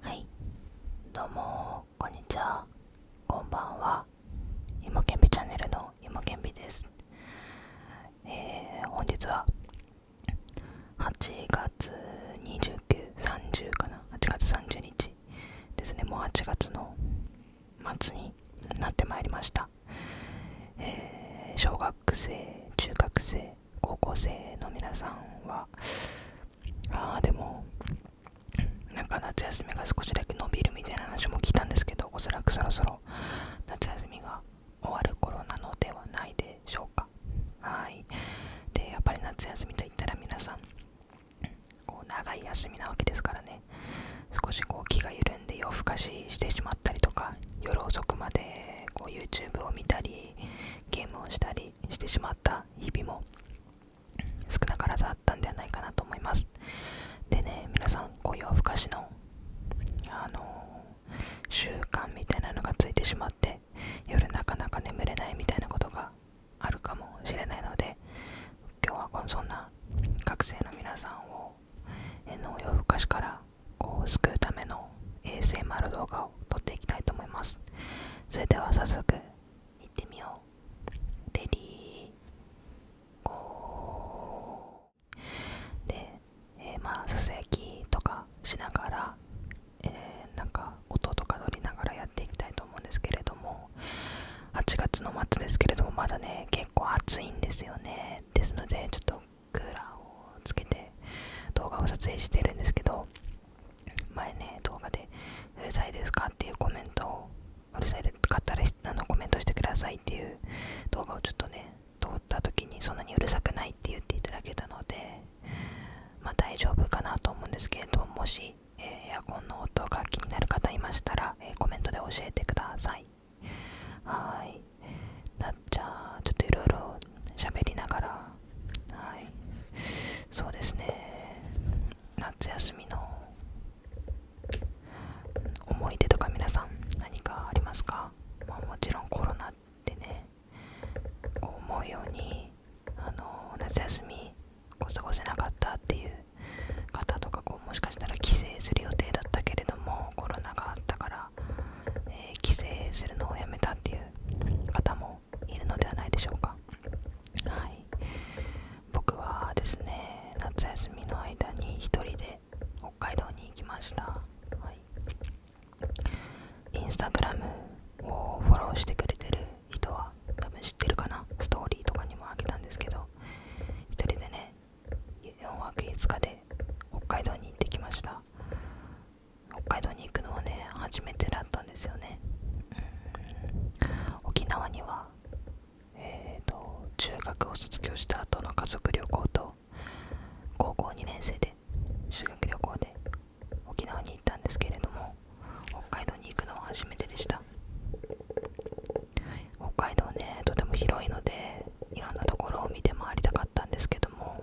はいどうもこんにちはこんばんはゆもけチャンネルのゆもけですえ本日は8月2930かな8月30日ですねもう8月の末になってまいりましたえ小学生中学生高校生の皆さんはああでもなんか夏休みが少しだけ伸びるみたいな話も聞いたんですけどおそらくそろそろ夏休みが終わる頃なのではないでしょうかはいでやっぱり夏休みといったら皆さんこう長い休みなわけですからね少しこう気が緩んで夜更かししてしまったりとか夜遅くまでこう YouTube を見たりゲームをしたりしてしまった日々も少なからずあったんではないかなと思いますでね皆さんこういう夜更かしのあの習慣みたいなのがついてしまって夜なかなか眠れないみたいなことがあるかもしれないので今日はこそんな学生の皆さんをの夜更かからこう救うための ASMR 動画を撮っていきたいと思いますそれでは早速いってみようレディーゴーで、えまあささやきとかしながら、えなんか音とか取りながらやっていきたいと思うんですけれども8月の末ですけれどもまだね結構暑いんですよねですのでちょっとクーラーをつけて動画を撮影してるんですけど前ね動画で「うるさいですか?」っていうコメントをうるさい買ったらあのコメントしてくださいっていう動画をちょっとね通った時にそんなにうるさくないって言っていただけたのでまあ大丈夫かなと思うんですけれどももし、えエアコンの音が気になる方いましたら、えコメントで教えてくださいはいなっちゃちょっといろいろ喋りながらはいそうですね夏休みの思い出とか皆さん何かありますか、まもちろんコロナってねこう思うようにあの夏休みこ過ごせなかったっていう方とかこうもしかしたら帰省する予定だったけれどもコロナがあったからえ帰省するのをやめたっていう方もいるのではないでしょうかはい僕はですね夏休みの間に1人で北海道に行きました、はい、インスタグラムをフォローしてくれてる人は多分知ってるかなストーリーとかにもあげたんですけど1人でね4泊5日で北海道に行ってきました北海道に行くのはね初めてだったんですよね、うん、沖縄にはえーと中学を卒業した後の家族旅行と高校2年生で修学旅行で沖縄に行ったんですけれども北海道に行くのは初めてでした北海道ねとても広いのでいろんなところを見て回りたかったんですけどもも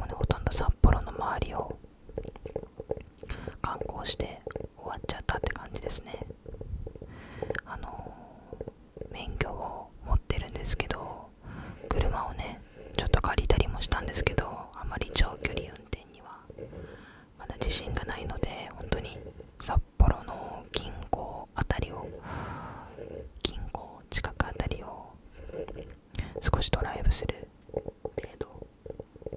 うねほとんど札幌の周りを観光して終わっちゃったって感じですねあの免許を持ってるんですけど車をねちょっと借りたりもしたんですけどあまり長距離運転にはまだ自信がないので本当に札幌の近郊あたりを近郊近くあたりを少しドライブする程度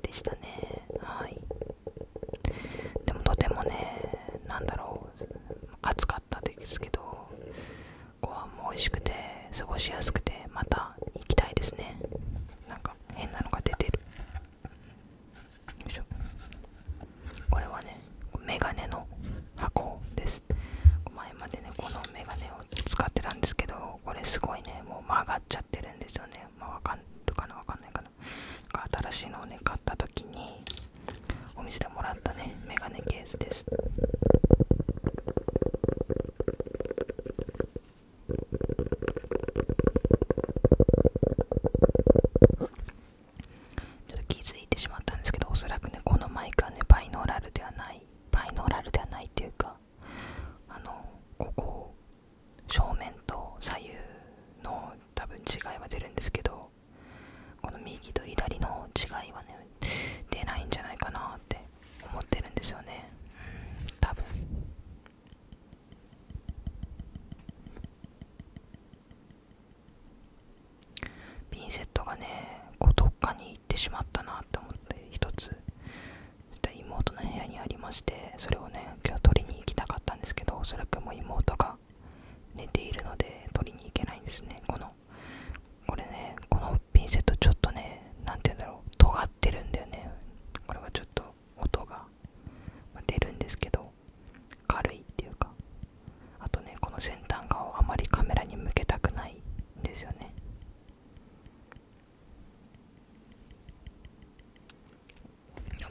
でしたねはいでもとてもね何だろう暑かったですけどご飯も美味しくて過ごしやすくてまた行きたいですねなんか変なのが出てるいしょこれはねメガネの箱です前までねこのメガネを使ってたんですけどこれすごいねもう曲がっちゃってるんですよねまあわかるかなわかんないかななんか新しいのをね買った時にお店でもらったねメガネケースですちょっと気づいてしまったんですけどおそらくねこのマイクはねバイノーラルではないバイノーラルではないっていうかあのここ正面と左右の多分違いは出るんですけどこの右と左の違いはね出ないんじゃないかなって思ってるんですよねうん多分ピンセットがねこうどっかに行ってしまったなって思って一つ妹の部屋にありましてそれをね今日取りに行きたかったんですけどおそらくもう妹が寝ているので取りに行けないんですねこのこれねこのピンセットちょっとね何て言うんだろう尖ってるんだよねこれはちょっと音が出るんですけど軽いっていうかあとねこの先端側をあまりカメラに向けたくないんですよね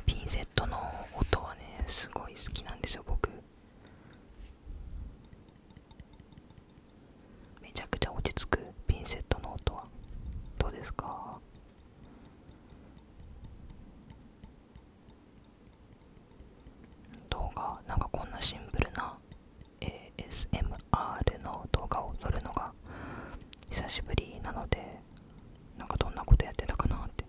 ピンセットの音はねすごい好きなんですよ僕めちゃくちゃ落ち着くピンセットの音はどうですか動画なんかこんなシンプルな ASMR の動画を撮るのが久しぶりなのでなんかどんなことやってたかなって、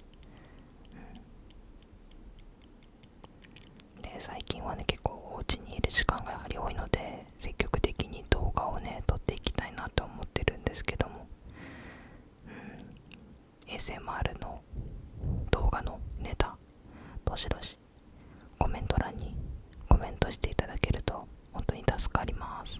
うん、で最近はね結構お家にいる時間がやはり多いので積極的に動画をね撮っていきたいなと思ってるんですけども、うん、ASMR の動画のネタどしどしコメント欄にコメントしていただけると本当に助かります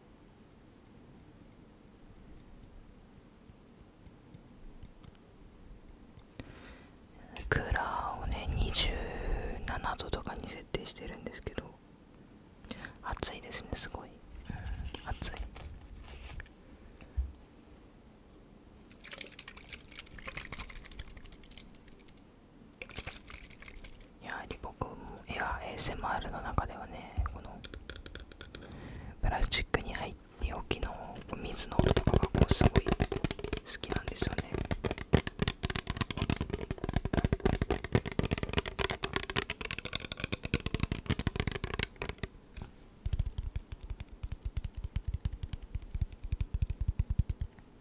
クーラーをね27度とかに設定してるんですけど暑いですねすごい、うん、暑いやはり僕もいや ASMR の中ではねこのプラスチックに入っておきの水の音とかがこうすごい好きなんですよね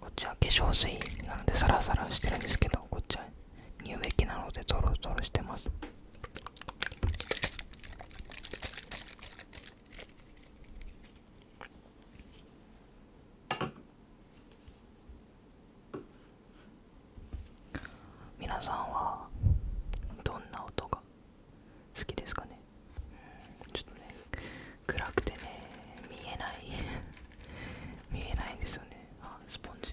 こっちは化粧水なのでサラサラしてるんですけどこっちは乳液なのでトロトロしてます皆さんはどんな音が好きですかねちょっとね暗くてね見えない 見えないんですよねあスポンジ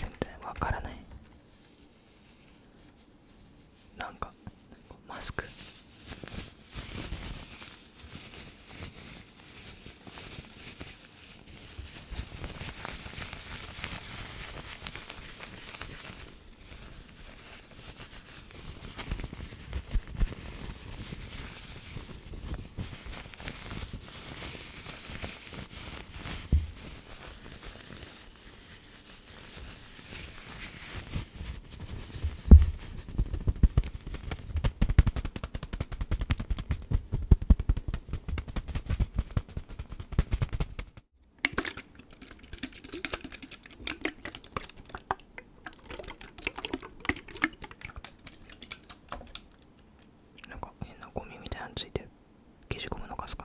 全然わからないなんかマスクなんか変なゴミみたいなのついてる消しゴムの数か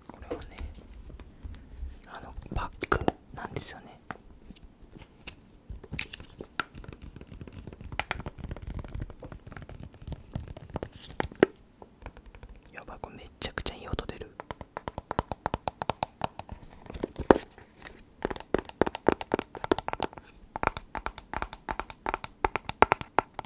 これはねあのパックなんですよねやばく、これめちゃくちゃいい音出る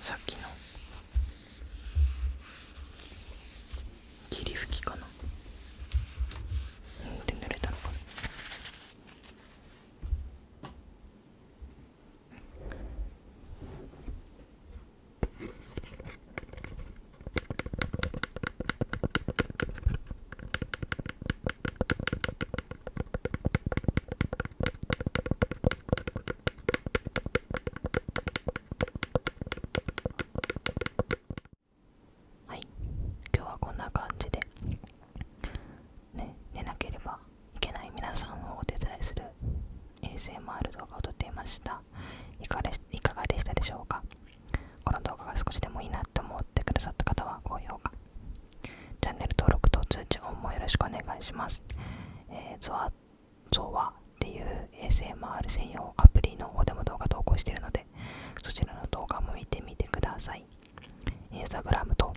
さっきの霧吹きかなうんって濡れたのかなはい今日はこんな感じで、ね、寝なければいけない皆さんをお手伝いする ASMR 動画を撮っていましたいかいかがでしたでしょうかこの動画が少しでもいいなって思ってくださった方は高評価チャンネル登録と通知音もよろしくお願いします。えゾワゾワっていう ASMR 専用アプリの方でも動画投稿してるので、そちらの動画も見てみてください。インスタグラムと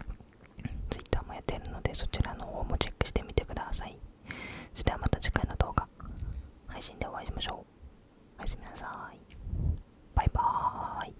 Twitter もやっているので、そちらの方もチェックしてみてください。それではまた次回の動画、配信でお会いしましょう。おやすみなさい。バイバーイ。